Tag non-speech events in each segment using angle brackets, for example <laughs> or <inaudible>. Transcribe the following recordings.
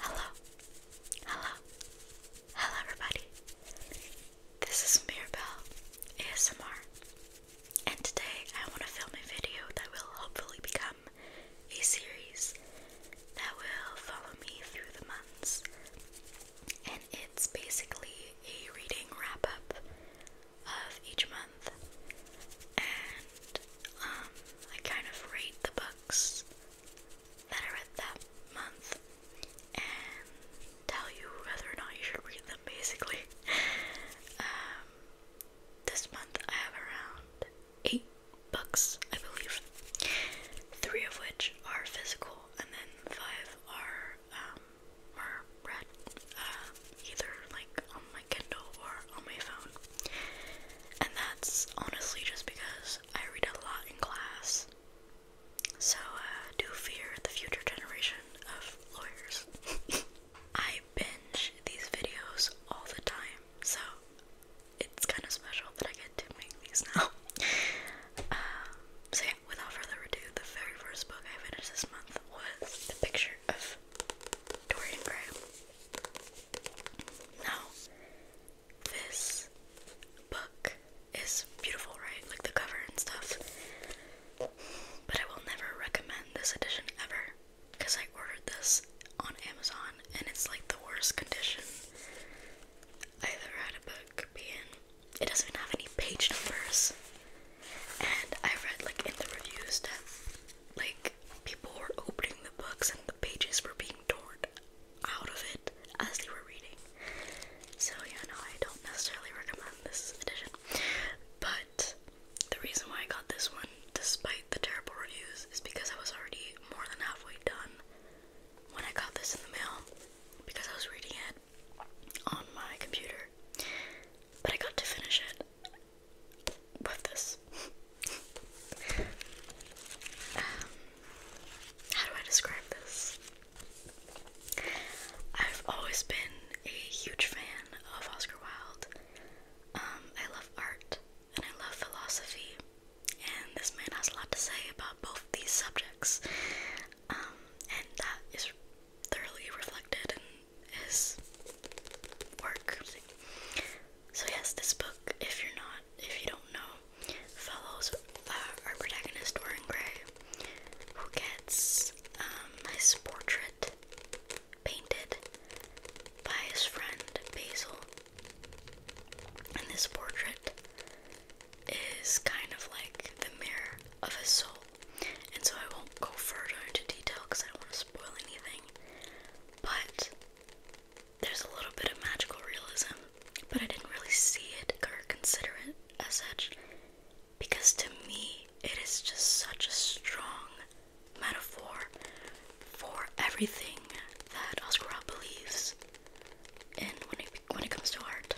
Hello, hello, hello, everybody. This is Mirabelle ASMR, and today I want to film a video that will hopefully become a series that will follow me through the months, and it's basically a reading wrap up of each month and um, I kind of rate the books that I read that month and tell you whether or not you should read them, basically. <laughs> um, this month I have around eight books, I believe, three of which are physical, and then five are um, are read uh, either like on my Kindle or on my phone. And that's honestly just because I read a lot in class. So uh, do fear the future generation of lawyers. <laughs> I binge these videos all the time, so it's kind of special that I get to make these now. <laughs> Uh, so yeah, without further ado, the very first book I finished this month was The Picture of Dorian Gray. Now, this book is beautiful, right? Like the cover and stuff. But I will never recommend this edition ever because I ordered this on Amazon and it's like the worst condition I ever had a book be in. It doesn't even have any page numbers. And I read like in the reviews that like people were opening the books and the pages were being torn out of it as they were reading. So yeah, no, I don't necessarily recommend this edition. But the reason why I got this one, despite the terrible reviews, is because I was already more than halfway done when I got this in the mail because I was reading it on my computer but I got to finish it with this. Um, how do I describe this? I've always been a huge fan of Oscar Wilde. Um, I love art and I love philosophy, and this man has a lot to say about both these subjects. Um, and that is thoroughly reflected in is work. So yes, this book, if you're not, if you don't know, follows uh, our protagonist Dorian Gray, who gets um, his portrait painted by his friend Basil, and this portrait is kind of like the mirror of his soul. And so I won't go further into detail because I don't want to spoil anything. But there's a little bit of magical realism, but I didn't really see it or consider it as such because to me it is just such a strong metaphor for everything that Oscar Wilde believes in when it, when it comes to art.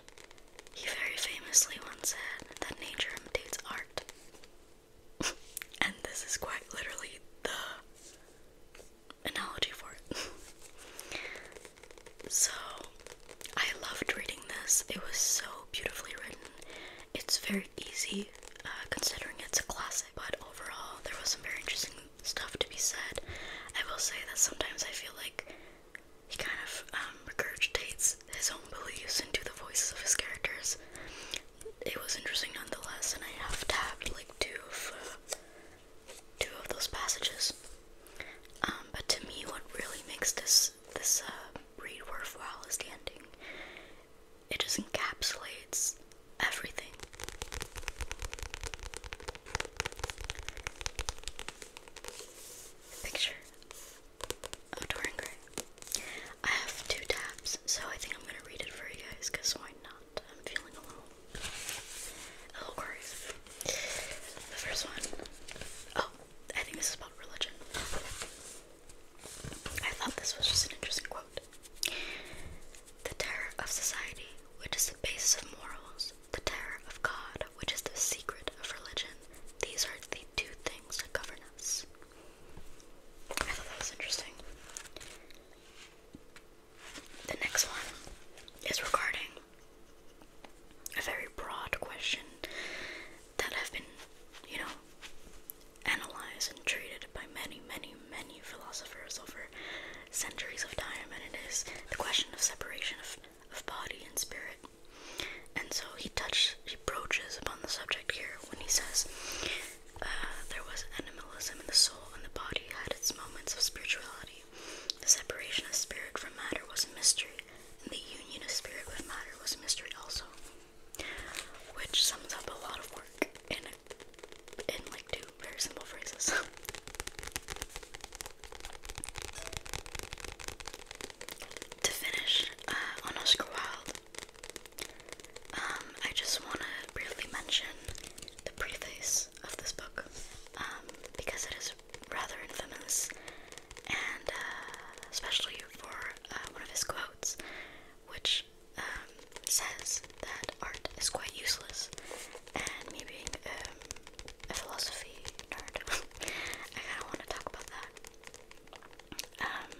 He very famously once said that nature imitates art. <laughs> and this is quite literally the analogy for it. <laughs> so, I loved reading this. It was so beautifully written. It's very easy uh, considering it's a classic, but overall, there was some very interesting stuff to be said. I will say that sometimes I feel like he kind of um, regurgitates his own beliefs into the voices of his characters it was interesting nonetheless, and I have tabbed like two of uh, two of those passages. Um, but to me, what really makes this this uh, read worthwhile is the ending. It just encapsulates everything. Picture of Gray. I have two tabs, so I think I'm gonna read it for you guys, because why not? I'm feeling a little, a little crazy. The first one, oh, I think this is about religion. I thought this was just an interesting quote. The terror of society, which is the basis of morals, the terror of God, which is the secret of religion, these are the two things that govern us. I thought that was interesting. The next one is regarding a very broad question that have been, you know, analyzed and treated by many, many, many philosophers over centuries of time, and it is the question of separation of, of body and spirit. And so he touches, he broaches upon the subject here when he says, uh, There was animalism in the soul, and the body had its moments of spirituality. The separation of spirit from matter was a mystery, and the union of spirit with matter was a mystery also. Which sums up a lot of work in, in like two very simple phrases. <laughs> to finish, on Oscar Wilde um, I just want to briefly mention the preface of this book, um, because it is rather infamous, and uh, especially for uh, one of his quotes, which um, says that art is quite useless, and me being a philosophy nerd, <laughs> I kind of want to talk about that. Um,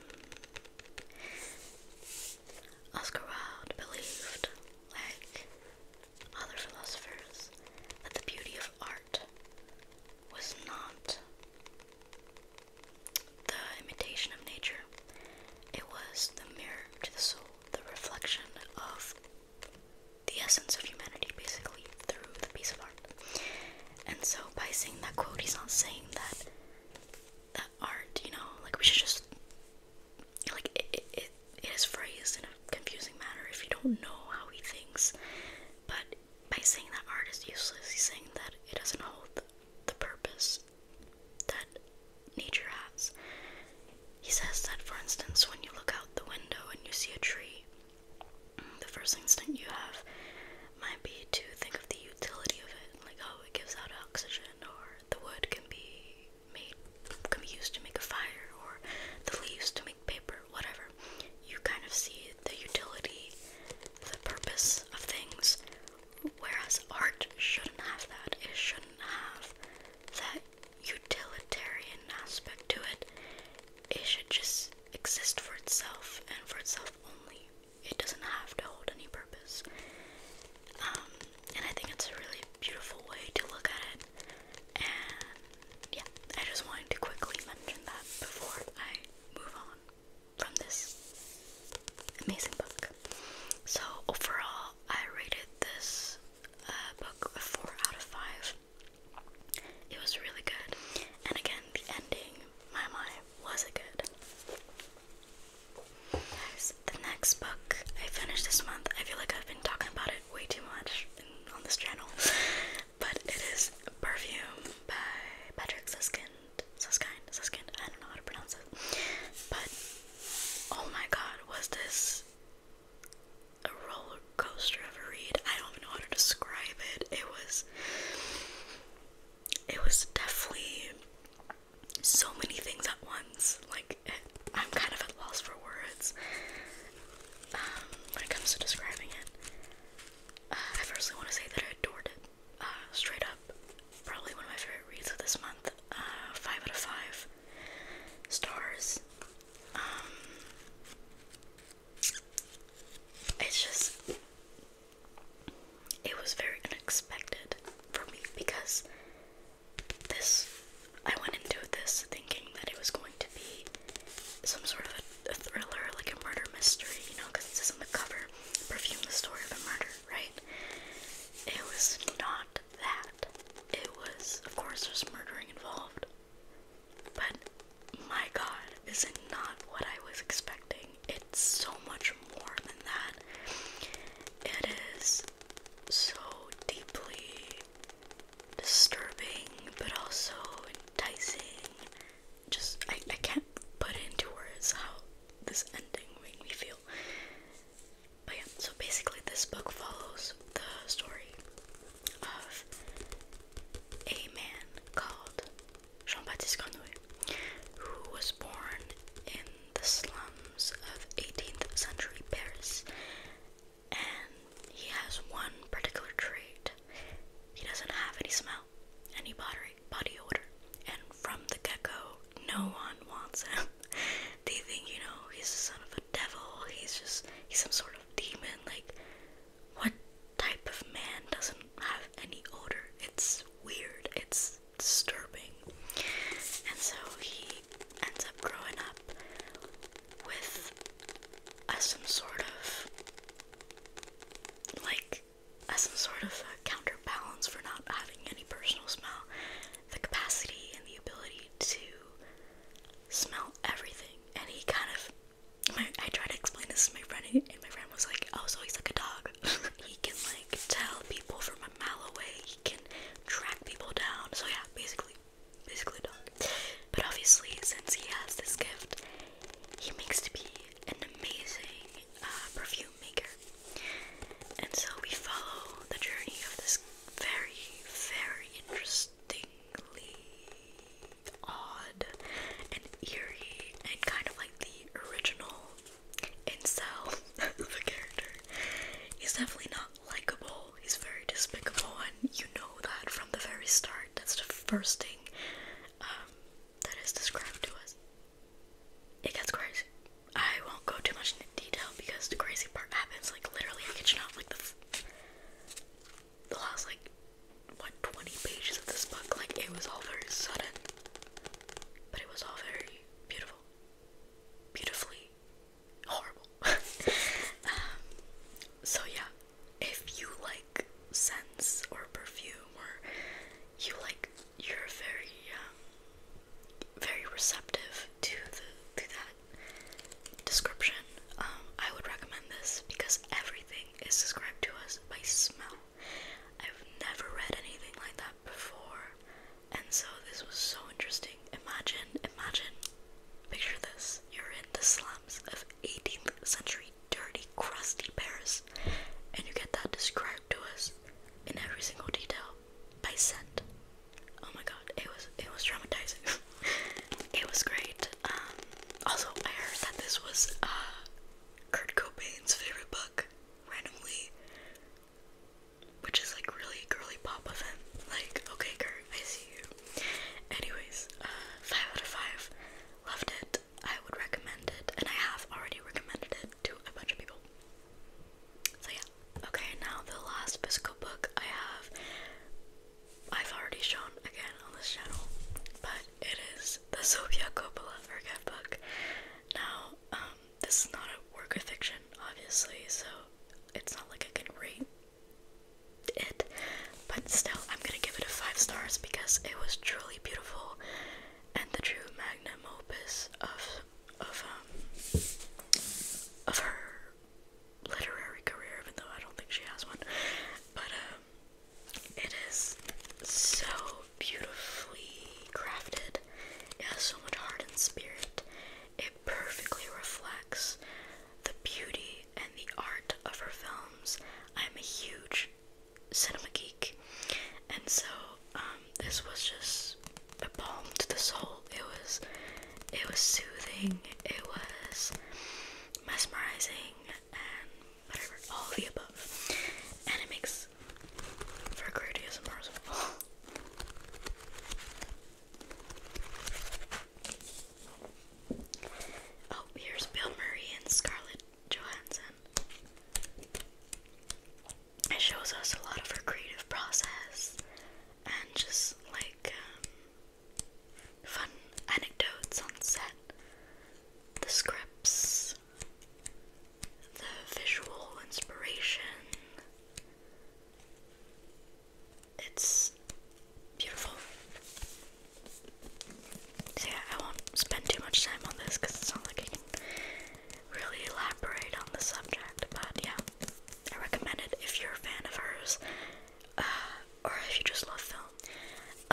Oscar Wilde believed, like other philosophers, that the beauty of art was not the imitation of nature, it was the mirror to the soul, the reflection of the essence of humanity, basically, through the piece of art. And so by saying that quote, he's not saying that that art, you know, like we should just like it, it is phrased in a confusing manner if you don't know how he thinks. But by saying that art is useless, he's saying that it doesn't hold the purpose that nature has. He says that, for instance, when you look out the window and you see a tree, the first instinct you have might be to think of the utility of it, like oh, it gives out oxygen, or the wood can be made, can be used to make a fire, or the leaves to make paper, whatever. You kind of see the utility, the purpose of things, whereas art shouldn't have that. It shouldn't have that utilitarian aspect to it it should just exist for itself and for itself only. It doesn't have to hold any purpose. Um, and I think it's a really beautiful way to look at it. And yeah, I just wanted to quickly mention that before I move on from this amazing book. So overall, I rated this uh, book a 4 out of 5. It was really good. And again, the ending, my my, was it good? the next book I finished this month, I feel like I've been talking about it way too much on this channel, <laughs> but it is Perfume by Patrick Suskind. Suskind? Suskind? I don't know how to pronounce it. But, oh my god, was this a roller roller coaster of a read. I don't even know how to describe it. It was it was definitely so many things at once. Like I'm kind of at loss for words um, when it comes to describing it. Uh, I firstly want to say that I adored it uh, straight up. Probably one of my favorite reads of this month. Uh, five out of five stars. Um, it's just, it was very unexpected for me because this, I went into this thinking that it was going to be some sort of a, thriller, like a murder mystery, you know, because it says on the cover, Perfume, the story of a murder, right? It was not that. It was, of course, there's murdering involved. But my god, is it not what I was expecting? It's so much more than that. It is so deeply disturbing, but also enticing. Just, I, I can't put into words how this ending made me feel. But yeah, so basically, this book follows the story of a man called Jean Baptiste Grenouille, who was born in the slums of 18th century Paris. And he has one particular trait he doesn't have any smell, any body, body odor. And from the get go, no one wants him. <laughs> they think, you know, he's the son of a devil, he's just, he's some sort of demon. Like, what type of man doesn't have any odor. It's weird, it's disturbing. And so he ends up growing up with a, uh, some sort of like as uh, some sort of uh, counterbalance for not having any personal smell, the capacity and the ability to smell everything. And he kind of I try to explain this to my friend, and my friend was like, "Oh, so he's like a dog. <laughs> he can like tell people from a mile away. He can track people down. So yeah, basically, basically a dog. But obviously, since he has this gift, he makes to be an amazing uh, perfume maker. And so we follow the journey of this very, very interesting." interestingly odd and eerie and kind of like the original incel <laughs> of a character. He's definitely not likable, he's very despicable, and you know that from the very start. That's the first thing um, that is described to us. It gets crazy. I won't go too much into detail because the crazy part happens like literally I get you out like the the last like what 20 pages of this book. Like it was all very sudden, but it was all very beautiful, beautifully horrible. <laughs> um, so yeah, if you like scents or perfume, or you like, you're very um, very receptive to the to that description. Um, I would recommend this because everything is described to us by smell. I've never read anything like that before, and so this was so interesting. Imagine, imagine, picture this. You're in the slums of 18th century dirty, crusty Paris, and you get that described to us in every single detail by scent. Oh my god, it was it was traumatizing. <laughs> it was great. Um, also, I heard that this was uh, Kurt Cobain's favorite book, randomly, which is like really girly pop of him. Like, okay, Kurt, I see you. Anyways, uh, five out of five. Loved it. I would recommend it, and I have already recommended it to a bunch of people. So yeah. Okay, now the last physical book I have I've already shown again on this channel, but it is the Sofia Coppola Forget Book. Now, um, this is not a work of fiction, obviously, so it's not like I can rate it, but still, I'm gonna give it a 5 stars because it was truly beautiful and the true magnum opus of, of, um, of her literary career, even though I don't think she has one. But um, it is so beautifully crafted. It has so much heart and spirit. It perfectly reflects the beauty and the art of her films. I'm a huge cinema geek, and so um, this was just a balm to the soul. It was it was soothing, it was mesmerizing, and all the above. And it makes for great ASMR as <laughs> Oh, here's Bill Murray and Scarlett Johansson. It shows us a lot of her creative process and just like um, fun anecdotes on set, the scripts, the visual inspiration. It's beautiful. So, yeah, I won't spend too much time on this because it's not like I can really elaborate on the subject, but yeah, I recommend it if you're a fan of hers uh, or if you just love film.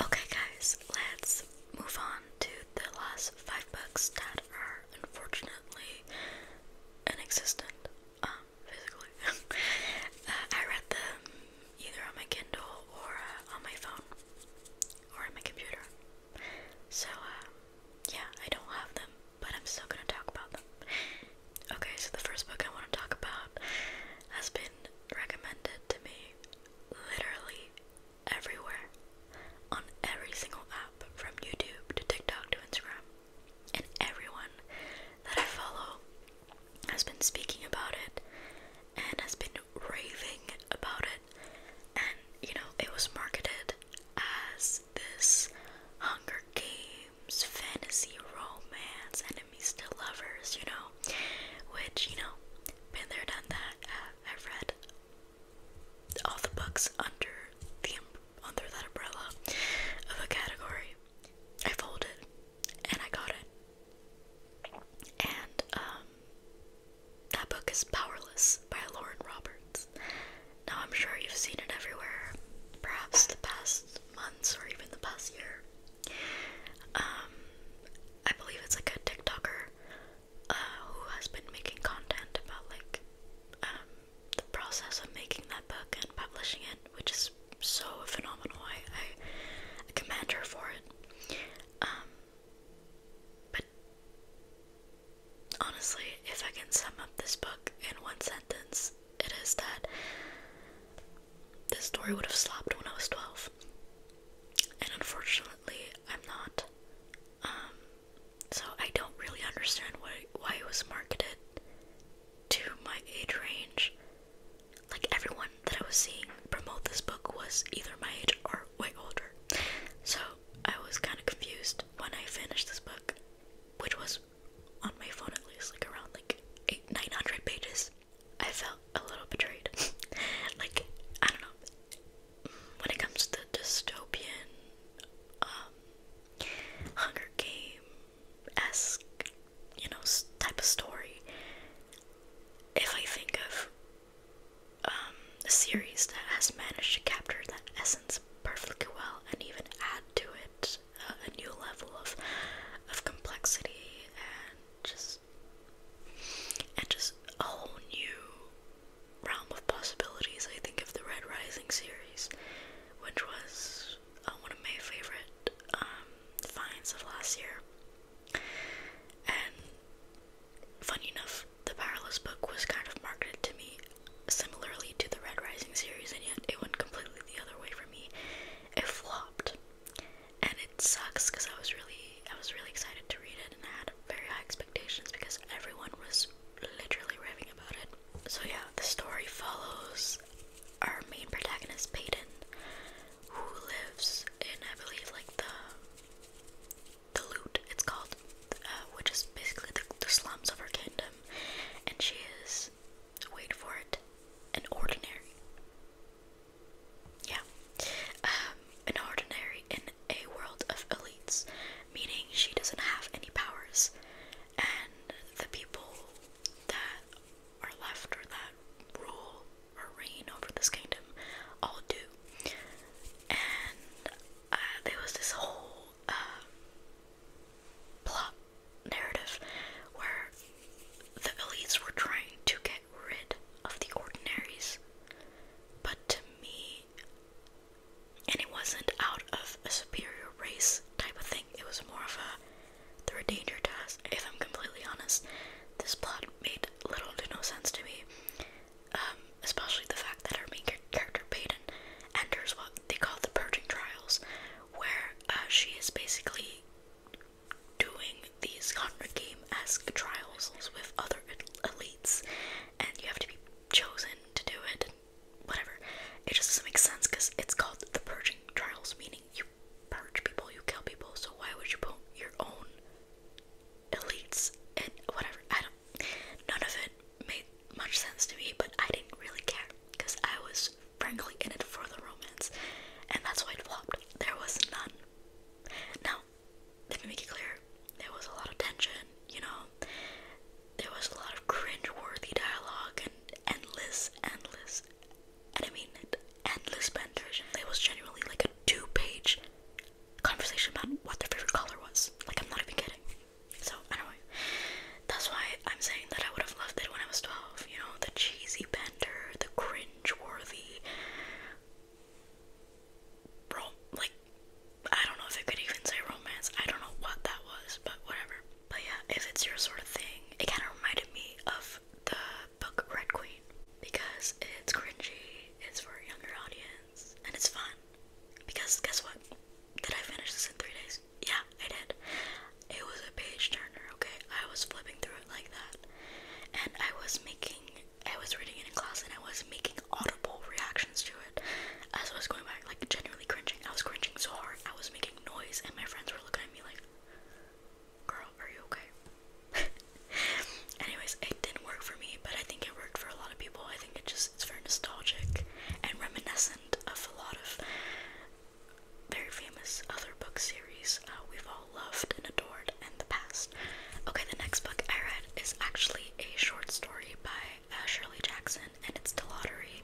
Okay, guys, let's move on to the last five books that are unfortunately inexistent, um, physically. <laughs> Uh, I read them either on my Kindle or uh, on my phone or on my computer. So, yeah, I don't have them, but I'm still gonna talk about them. Okay, so the first book I want to talk about has been recommended to me literally everywhere on every single app from YouTube to TikTok to Instagram. And everyone that I follow has been speaking about it and has been raving about it. And you know, it was marketed as this Hunger Games fantasy, romance, enemies to lovers, you know, which, you know, been there, done that. Uh, I've read all the books under the um, under that umbrella of a category. I folded and I got it. And um, that book is Powerless by Lauren Roberts. Now, I'm sure you've seen it everywhere, perhaps the past months or even the past year. Um, I believe it's like a TikToker uh, who has been making content about like um, the process of making that book and publishing it, which is so phenomenal. I, I, I commend her for it. Um, but honestly, if I can sum up this book in one sentence, it is that this story would have stopped when I was 12. And unfortunately, I'm not. Um, so I don't really understand why why it was marketed to my age range. Like everyone that I was seeing promote this book was either my age or way older. So I was kind of confused when I finished this book, which was on my phone at least like around like eight nine hundred pages. I felt a little betrayed. <laughs> like I don't know. When it comes to the dystopian, um, Hunger Game esque, you know, type of story. If I think of um, a series that has managed to capture that essence perfectly well and even add to it uh, a new level of of complexity and just and just a whole new realm of possibilities. I think of the Red Rising series, which was uh, one of my favorite um, finds of last year. And funny enough, the Powerless book was kind of marketed to me similarly to the Red Rising series, and yet it went completely the other way for me. It flopped, and it sucks because I was really, I was really excited to read it, and I had very high expectations because everyone was literally raving about it. So yeah, the story follows our main protagonist, Payton, who lives in, I believe, like the the loot it's called, uh, which is basically the, slums of our kingdom and she is, wait for it, an ordinary. Yeah. Um, an ordinary in a world of elites, meaning she doesn't have any powers, and the people that are left or that rule or reign over this kingdom all do. And uh, there was this whole um, plot narrative where the elites were trying to get rid of the ordinaries. But to me, and it wasn't out of a superior race type of thing, it was more of a they're a danger to us. If I'm completely honest, this plot made little to no sense to me. Um, especially the fact that our main character Peyton enters what they call the purging trials, where uh, she is basically doing these Hunger Game-esque trials with other elites, and you have to be chosen to do it, whatever. It just doesn't make sense because it's called the purging trials, meaning you purge people, you kill people, so why would you put your own elites and whatever? I don't None of it made much sense to me, but I didn't really care because I was frankly in it for the romance, and that's why it flopped. There was none. Now, let me make it clear there was a lot of tension, you know, there was a lot of cringe worthy dialogue and endless, endless, and I mean endless banter. It was genuinely like a two page conversation about what their favorite color was. Like, I'm not even kidding. So anyway, that's why I'm saying that I would have loved it when I was 12. You know, the cheesy bender, the cringe-worthy, like, I don't know if I could even say romance. I don't know what that was, but whatever. But yeah, if it's your sort of thing, it kind of reminded me of the book Red Queen because it's cringy, it's for a younger audience, and it's fun. Because guess what? Did I finish this in three days? Yeah, I did. It was a page turner, okay? I was flipping through it like that. And I was making, I was reading it in class and I was making audible reactions to it as I was going back, like genuinely cringing. I was cringing so hard, I was making noise, and my friends were looking at me like, girl, are you okay? <laughs> Anyways, it didn't work for me, but I think it worked for a lot of people, I think it just it's very nostalgic and reminiscent of a lot of very famous other book series uh, we've all loved and adored in the past. Okay, the next book I read is actually a short story by uh, Shirley Jackson, and it's The Lottery.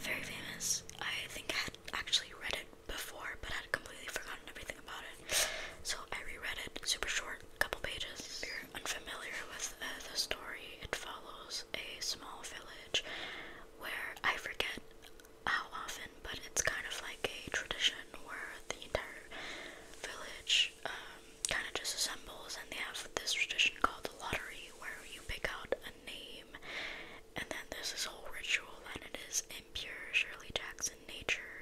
Very famous. I think I had actually read it before, but I had completely forgotten everything about it. So I reread it, super short, couple pages unfamiliar with uh, the story, it follows a small village where I forget how often, but it's kind of like a tradition where the entire village um, kind of just assembles and they have this tradition called the lottery where you pick out a name and then there's this whole ritual and it is impure Shirley Jackson nature.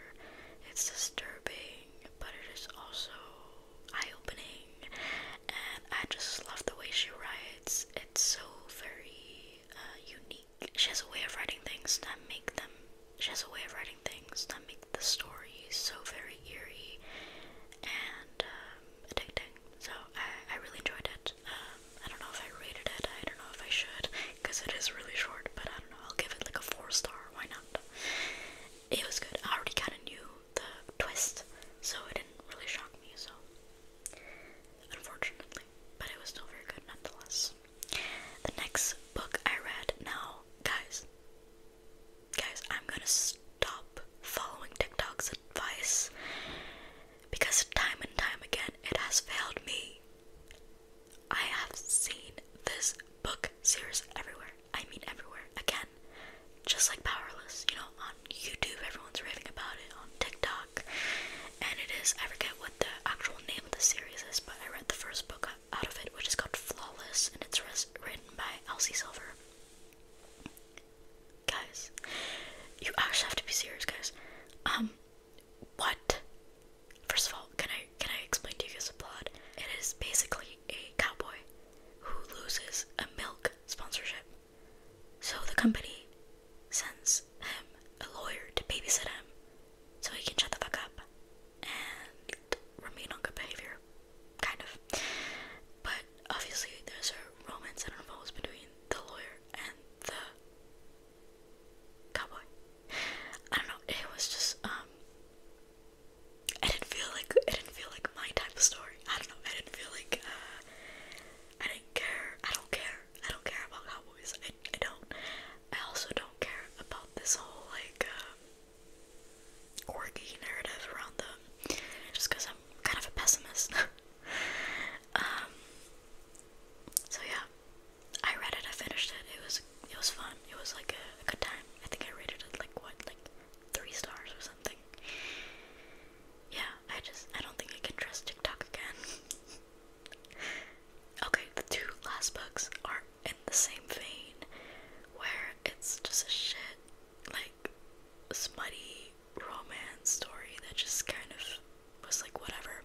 It's disturbing, but it is also eye opening, and I just love the way she writes. It's so very uh, unique. She has a way of writing things that make them. She has a way of writing things that make the story so very eerie and um, addicting. So I, I really enjoyed it. Um, I don't know if I rated it. I don't know if I should because it is really short. But I don't know. I'll give it like a four star. Why not? it was good. I already kind of knew the twist, so it didn't really shock me, so unfortunately, but it was still very good nonetheless. The next book I read now, guys, guys, I'm gonna stop following TikTok's advice because time and time again it has failed me. I have seen this book series everywhere. I mean everywhere. Again, just like Powerless, you know, on YouTube everyone's raving about it, on TikTok, and it is, I forget what the actual name of the series is, but I read the first book out of it, which is called Flawless, and it's written by Elsie Silver. Guys, you actually have to be serious, guys. Um, what? First of all, can I can I explain to you guys the plot? It is basically a cowboy who loses a milk sponsorship. So the company sends him a lawyer to babysit him so he can shut the fuck up and remain on good behavior. Kind of. But obviously, there's a romance that unfolds between the lawyer and the cowboy. I don't know, it was just, um, I didn't feel like it didn't feel like my type of story. I don't know. I didn't feel like uh, I didn't care. I don't care. I don't care about cowboys. I, I don't. I also don't care about this whole like um, uh, quirky narrative around them. Just because I'm kind of a pessimist. <laughs> um. So yeah, I read it. I finished it. It was it was fun. It was like a, a good time. I think I rated it like what like three stars or something. Yeah, I just I don't think I can trust TikTok again. <laughs> okay, the two last books are in the same vein where it's just a shit like smutty romance story that just kind of was like whatever.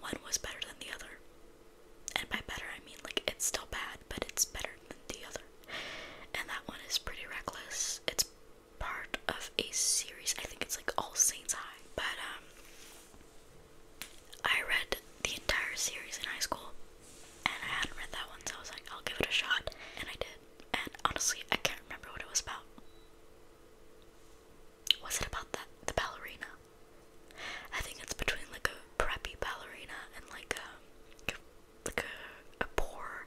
One was better than the other. And by better, I mean like it's still bad, but it's better than the other. And that one is pretty reckless. It's part of a series. I think it's like All Saints High. But um I read the entire series in high school and I hadn't read that one so I was like I'll give it a shot and I did. And honestly I can't remember what it was about. Was it about that the ballerina? I think it's between like a preppy ballerina and like a um, like a poor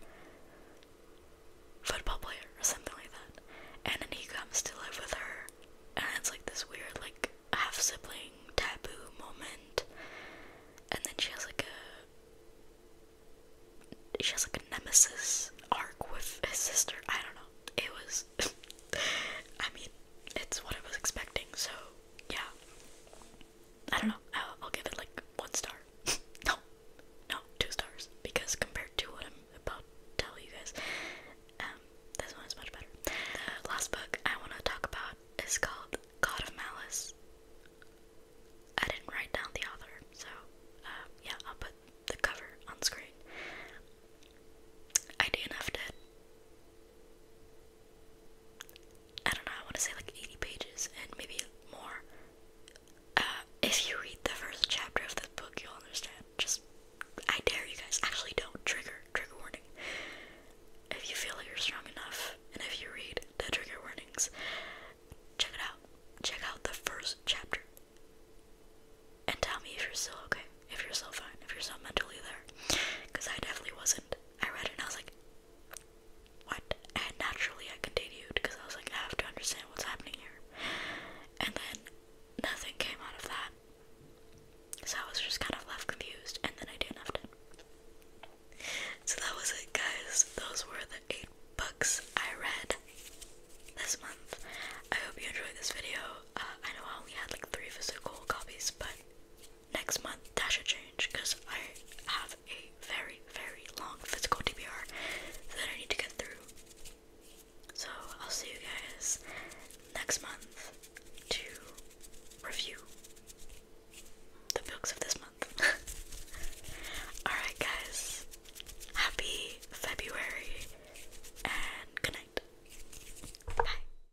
football player or something like that. And then he comes to live with her, and it's like this weird, like, half sibling taboo moment. And then she has like a she has like a nemesis arc with his sister. I don't know. It was <laughs> I mean, it's what I was expecting, so yeah. I don't know. I'll, give it like one star. <laughs> no, no, two stars because compared to what I'm about to tell you guys, um, this one is much better. The last book I want to talk about is called God of Malice. I didn't write down the author, so um, yeah, I'll put the cover on screen. I dnf I don't know, I want to say like 80 pages and maybe more. Uh, if you read the first chapter of this book, you'll understand. Just, I dare you guys. Actually, don't. Trigger. Trigger warning. If you feel like you're strong enough, and if you read the trigger warnings, check it out. Check out the first chapter. And tell me if you're still okay, if you're still fine, if you're still mentally there. Because I definitely wasn't. I read it and I was like, what? And naturally I continued because I was like, I have to understand what's happening here. And then nothing came out of that. So I was just kind of left confused and then I did not have to. So that was it guys. Those were the eight books I read this month. I hope you enjoyed this video. Uh, I know I only had like three physical copies, but next month that should change because I have a very, very long physical DBR that I need to get through. So I'll see you guys next month to review the books of this month. <laughs> Alright, guys, happy February and good night. Bye.